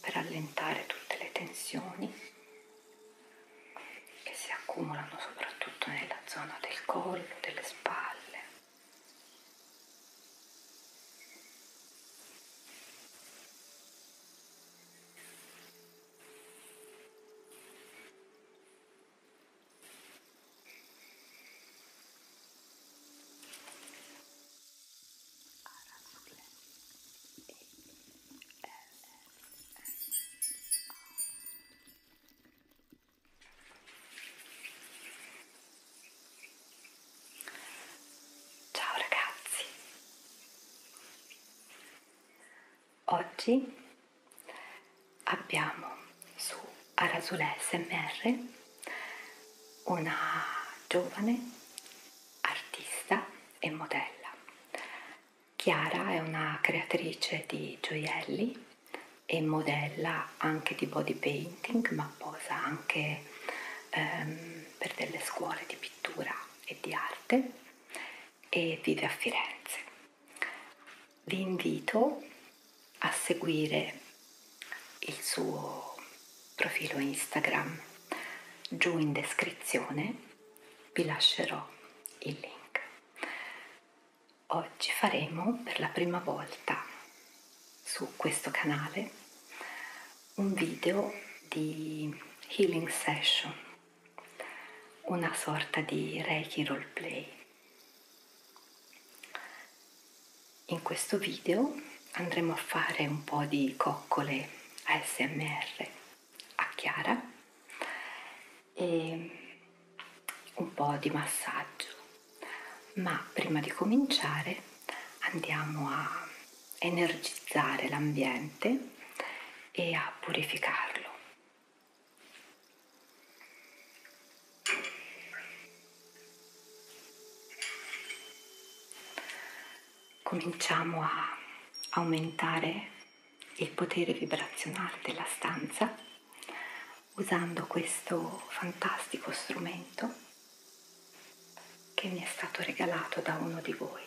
per allentare tutte le tensioni che si accumulano soprattutto nella zona del collo, delle spalle. R Ciao ragazzi, oggi abbiamo su Arasule SMR una giovane artista e modella Chiara è una creatrice di gioielli e modella anche di body painting, ma posa anche ehm, per delle scuole di pittura e di arte e vive a Firenze. Vi invito a seguire il suo profilo Instagram giù in descrizione vi lascerò il link. Oggi faremo per la prima volta su questo canale un video di healing session, una sorta di Reiki roleplay. In questo video andremo a fare un po' di coccole ASMR a chiara e un po' di massaggio. Ma prima di cominciare andiamo a energizzare l'ambiente e a purificarlo cominciamo a aumentare il potere vibrazionale della stanza usando questo fantastico strumento che mi è stato regalato da uno di voi.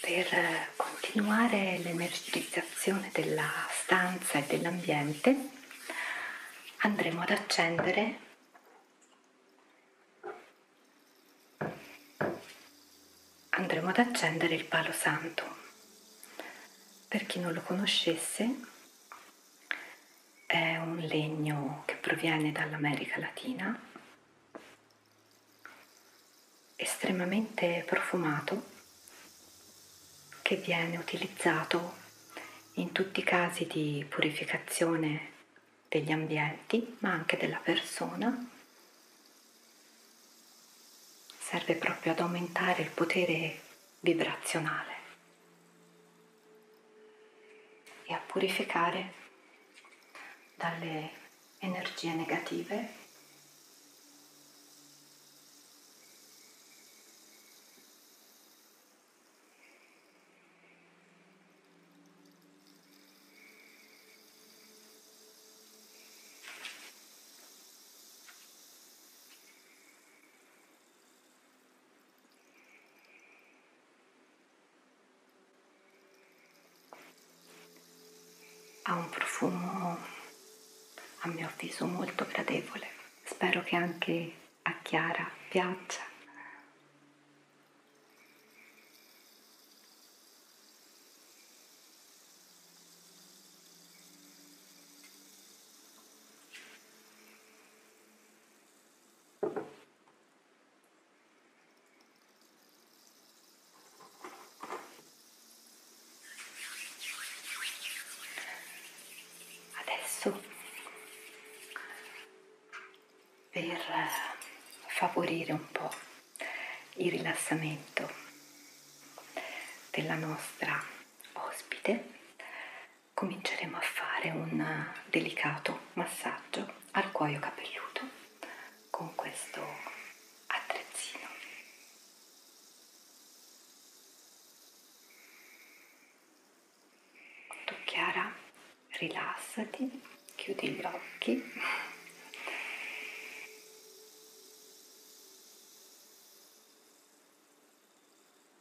Per continuare l'energizzazione della stanza e dell'ambiente andremo ad accendere andremo ad accendere il palo santo. Per chi non lo conoscesse, è un legno che proviene dall'America Latina, estremamente profumato, che viene utilizzato in tutti i casi di purificazione degli ambienti, ma anche della persona. Serve proprio ad aumentare il potere vibrazionale e a purificare dalle energie negative ha un profumo a mio avviso molto gradevole, spero che anche a Chiara piaccia. Adesso, per eh, favorire un po' il rilassamento della nostra ospite, cominceremo a fare un delicato massaggio al cuoio capelluto con questo attrezzino. Tu Chiara, rilassati, chiudi gli occhi.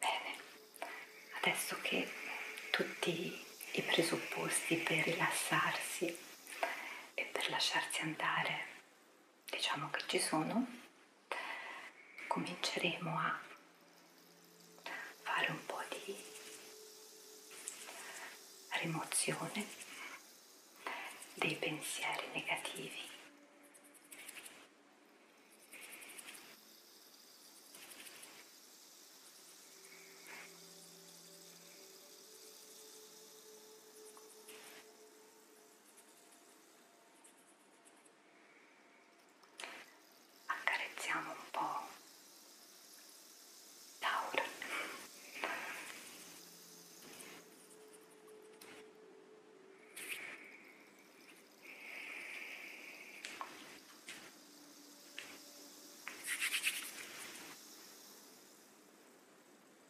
Bene, adesso che tutti i presupposti per rilassarsi e per lasciarsi andare diciamo che ci sono, cominceremo a fare un po' di rimozione dei pensieri negativi. Accarezziamo un po' Laura.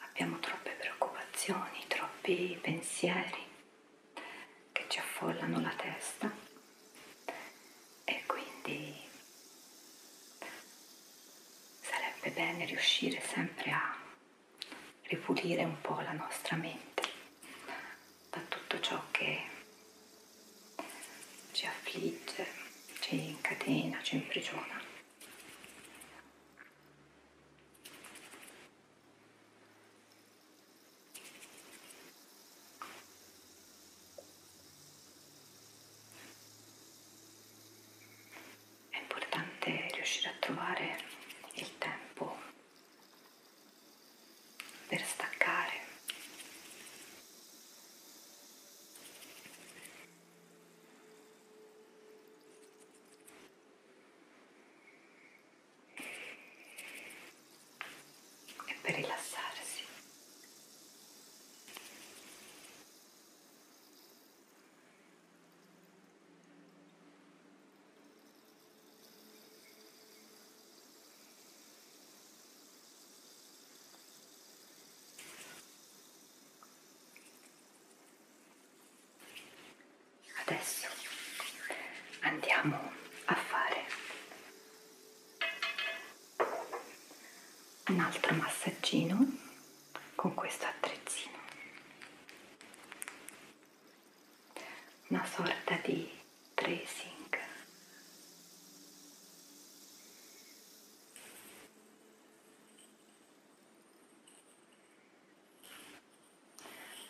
abbiamo troppe preoccupazioni, troppi pensieri che ci affollano la testa e quindi sarebbe bene riuscire sempre a ripulire un po' la nostra mente da tutto ciò che ci affligge, ci incatena, ci imprigiona. È importante riuscire a trovare il tempo per staccare e per rilassarsi. Adesso andiamo a fare un altro massaggino con questo attrezzino, una sorta di tracing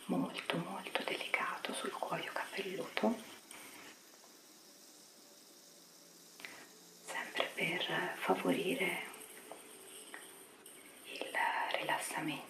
molto molto delicato sul cuoio capelluto sempre per favorire il rilassamento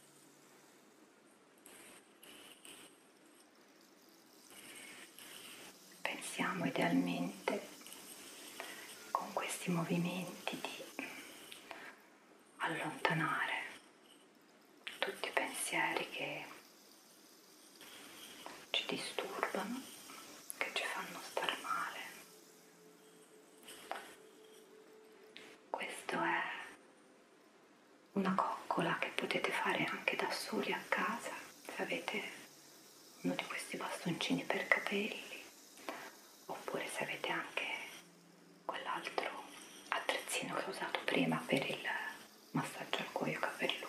Pensiamo idealmente con questi movimenti di allontanare tutti i pensieri che ci disturbano, che ci fanno stare male questo è una coccola che potete fare anche da soli a casa se avete uno di questi bastoncini per capelli oppure se avete anche quell'altro attrezzino che ho usato prima per il massaggio al cuoio capelluto.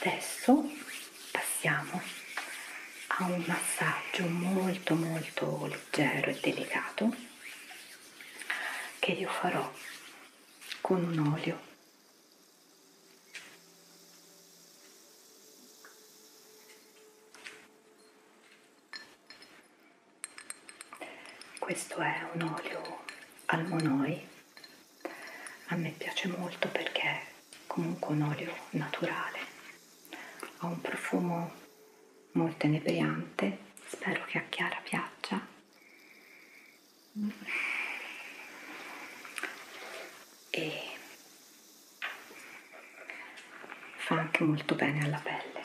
Adesso passiamo a un massaggio molto molto leggero e delicato che io farò con un olio questo è un olio al monoi, a me piace molto perché è comunque un olio naturale, ha un profumo molto inebriante, spero che a Chiara piaccia. E fa anche molto bene alla pelle.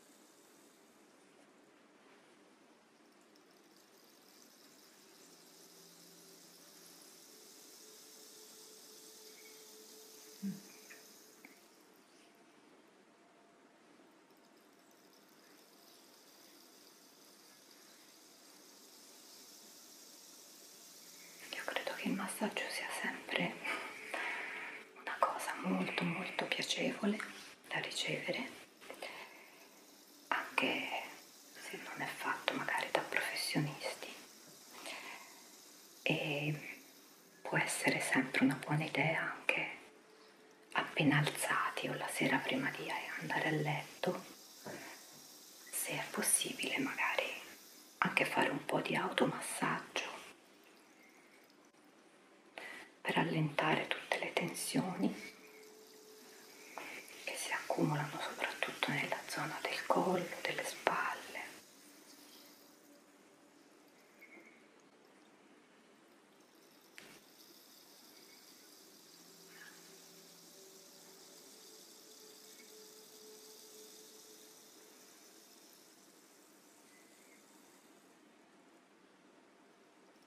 Io credo che il massaggio sia sempre una cosa molto molto piacevole da ricevere, anche se non è fatto magari da professionisti e può essere sempre una buona idea anche appena alzati o la sera prima di andare a letto se è possibile magari anche fare un po' di automassaggio per allentare tutte le tensioni che si accumulano soprattutto nella zona del collo, delle spalle.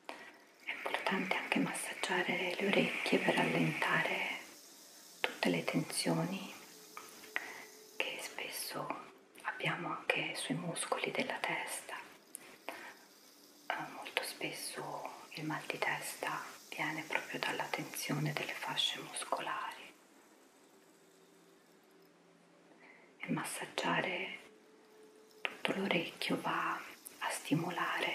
È importante anche massaggiare le orecchie per allentare tutte le tensioni che spesso abbiamo anche sui muscoli della testa. Eh, molto spesso il mal di testa viene proprio dalla tensione delle fasce muscolari e massaggiare tutto l'orecchio va a stimolare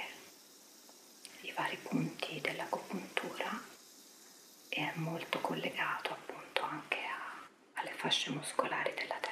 i vari punti dell'agopuntura e è molto collegato appunto anche a, alle fasce muscolari della testa.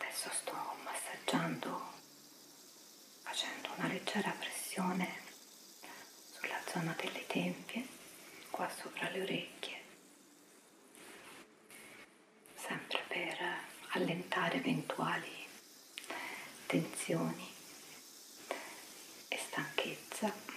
Adesso sto massaggiando facendo una leggera pressione sulla zona delle tempie, qua sopra le orecchie sempre per allentare eventuali tensioni e stanchezza.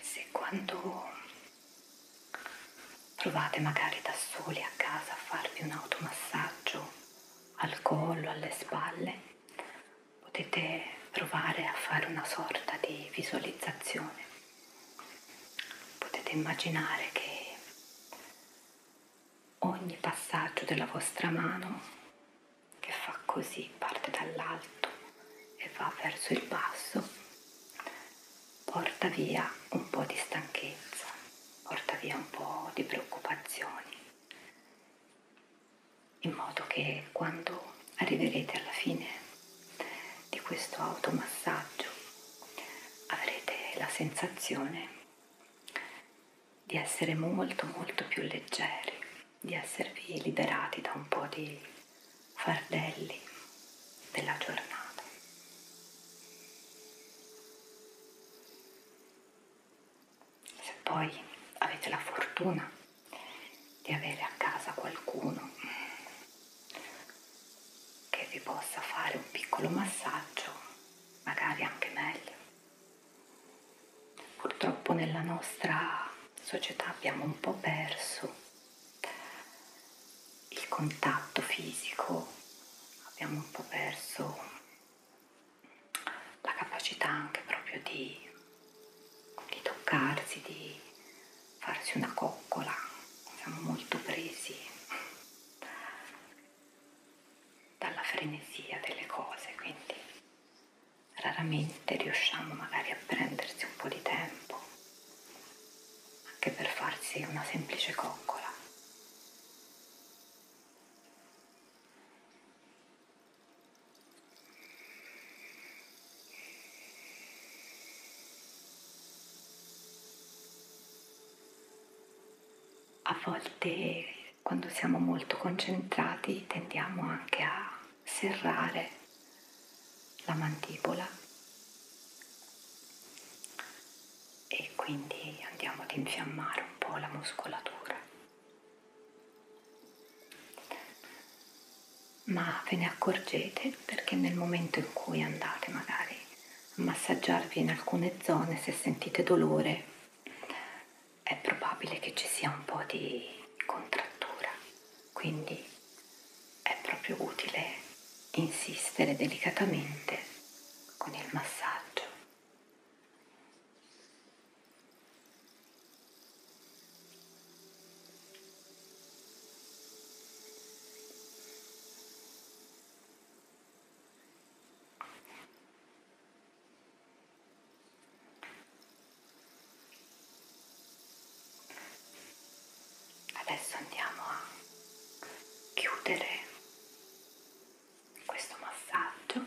Se quando provate magari da soli a casa a farvi un automassaggio al collo, alle spalle, potete provare a fare una sorta di visualizzazione. Potete immaginare che ogni passaggio della vostra mano che fa così, parte dall'alto e va verso il basso, porta via un po' di stanchezza, porta via un po' di preoccupazioni, in modo che quando arriverete alla fine di questo automassaggio avrete la sensazione di essere molto molto più leggeri, di esservi liberati da un po' di fardelli della giornata. Se poi avete la fortuna di avere a casa qualcuno che vi possa fare un piccolo massaggio, magari anche meglio Purtroppo nella nostra società abbiamo un po' perso il contatto fisico, abbiamo un po' perso la capacità anche proprio di, di toccarsi, di farsi una coccola, siamo molto presi dalla frenesia delle cose, quindi raramente riusciamo magari a prendersi un po' di tempo anche per farsi una semplice coccola. A volte quando siamo molto concentrati tendiamo anche a serrare la mandibola e quindi andiamo ad infiammare un po' la muscolatura. Ma ve ne accorgete perché nel momento in cui andate magari a massaggiarvi in alcune zone, se sentite dolore, è probabile che ci sia un po' di contrattura, quindi è proprio utile insistere delicatamente con il massaggio. Adesso andiamo a chiudere questo massaggio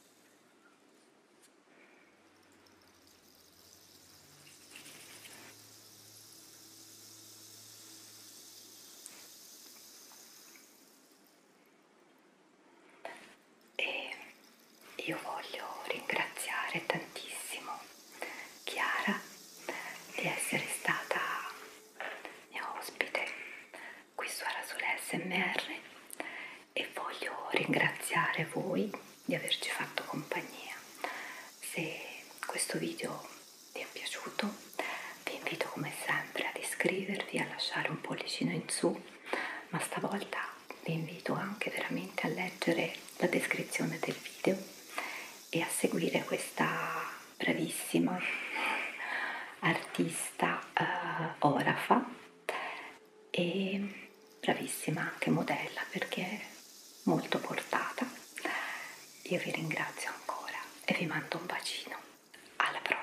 E io voglio ringraziare tantissimo Chiara di essere stata mia ospite qui su Arasole SMR e voglio ringraziare voi di averci fatto compagnia. Se questo video vi è piaciuto vi invito come sempre ad iscrivervi, a lasciare un pollicino in su, ma stavolta vi invito anche veramente a leggere la descrizione del video e a seguire questa bravissima artista eh, orafa e bravissima anche modella perché è molto portata. Io vi ringrazio ancora e vi mando un bacino. Alla prossima!